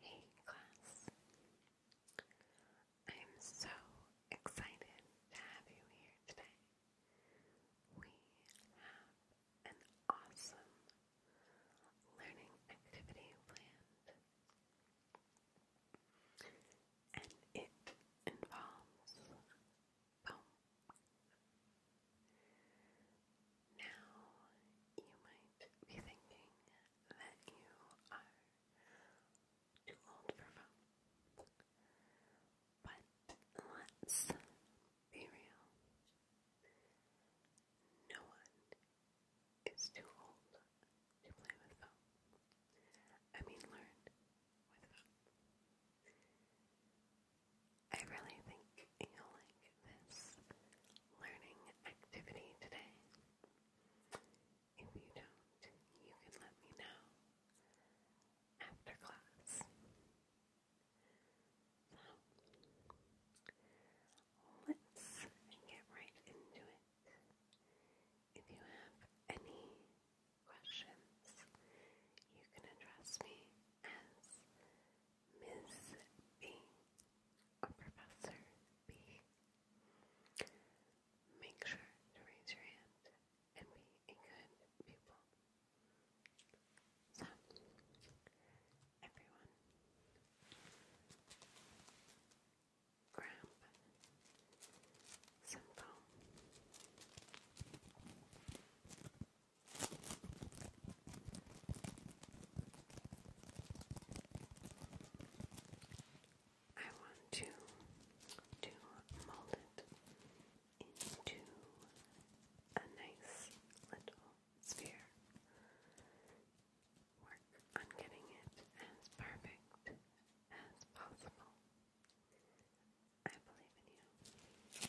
Hey class. I'm so excited to have you here today. We have an awesome learning activity planned. And it involves now, you might be thinking that you are too old for phones, but let's be real. No one is too old to play with phones. I mean, learn with phones. I really think you'll like this learning activity today? If you don't, you can let me know after class. So, let's get right into it. If you have any questions, you can address me as Miss B Professor B. Make sure to raise your hand and be a good pupil. So, everyone, grab some foam. I want to to mold it into a nice little sphere. Work on getting it as perfect as possible. I believe in you.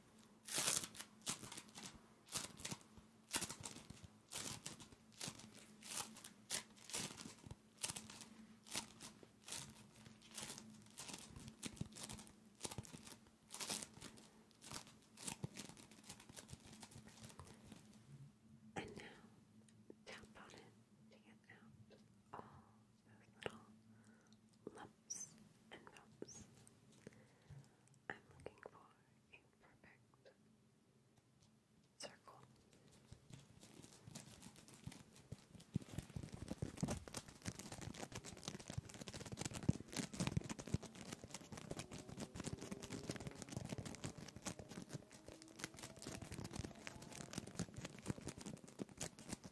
And now tap on it to get out all those little bumps and I'm looking for a perfect circle.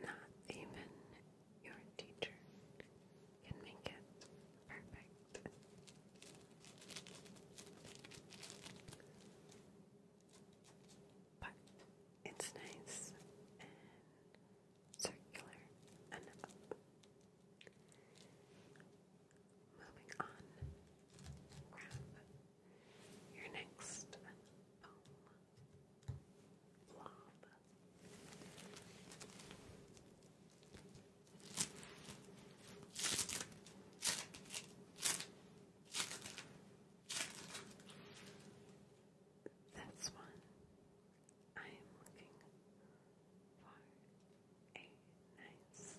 Not even your teacher can make it. Perfect. But it's nice and circular and Moving on, grab your next foam um, blob. That's one. I am looking for a nice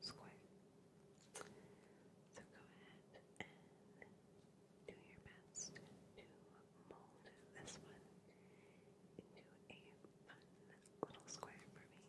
square. So go ahead and do your best to mold this one into a fun little square for me.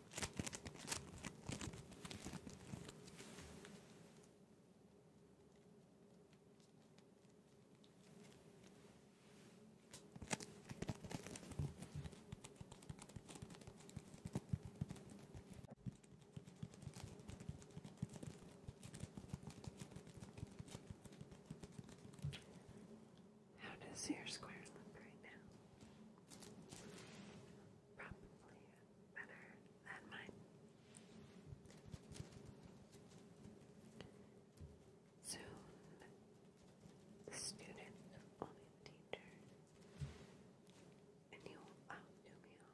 How does your square look right now? probably better than mine. Soon, the student will the teacher, and you will outdo me all.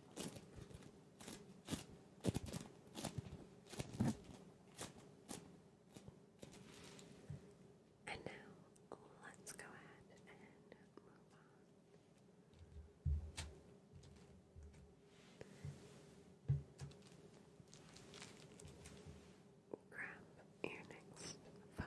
And now let's go ahead and move on. Grab your next phone.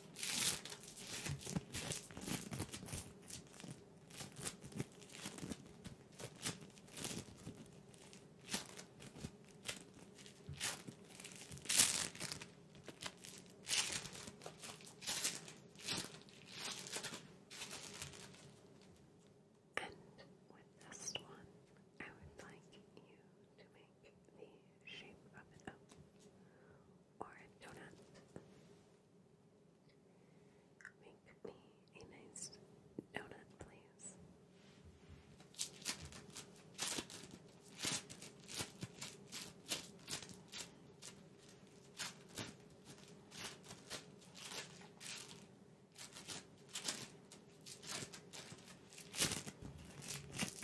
And with this one, I would like you to make the shape of an O or a donut. Make me a nice donut, please.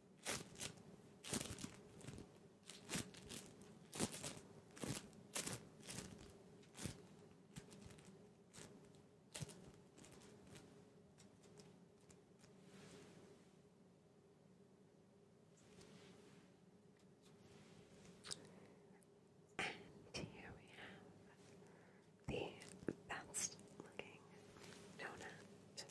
And here we have the best looking donut.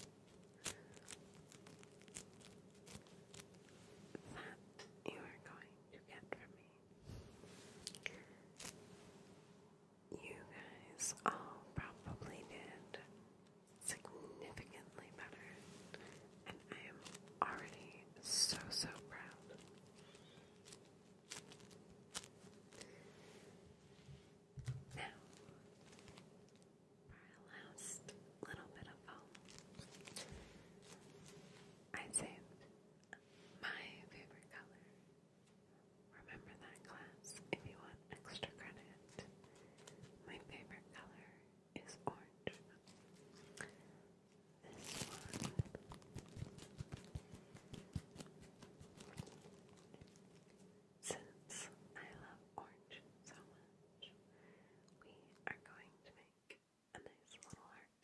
That you are going to get from me. You guys all probably did significantly better, and I am already so, so proud. Now, our last little bit of foam. I'd say my favorite color. Remember that class if you want extra credit. My favorite color is orange. This one since I love orange so much, we are going to make a nice little heart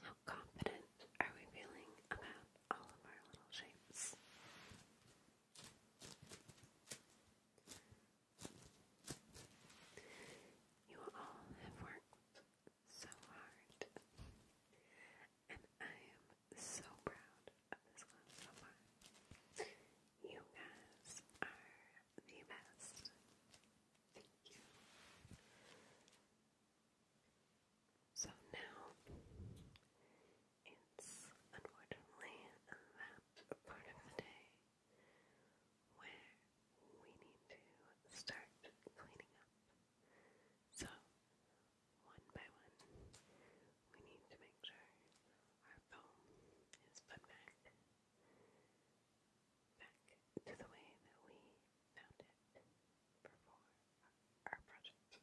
How confident are we feeling about all of our little shapes? You all have worked so hard and I am so proud of this one so far. You guys are the best. Thank you. So now it's unfortunately that part of the day where we need to start cleaning up. So one by one. We need to make sure our foam is put back, back to the way that we found it before our project. So,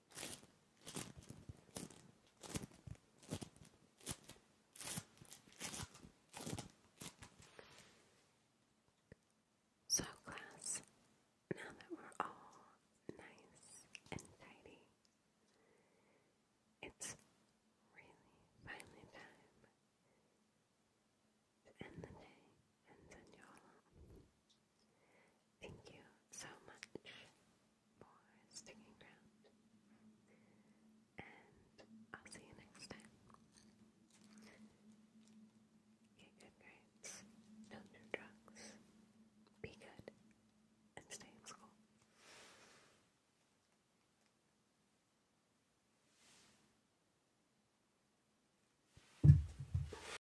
So, class, now that we're all nice and tidy, it's really finally time to end the day and send you all Thank you so much for sticking around, and I'll see you next time. Get good grades, don't do drugs, be good, and stay in school.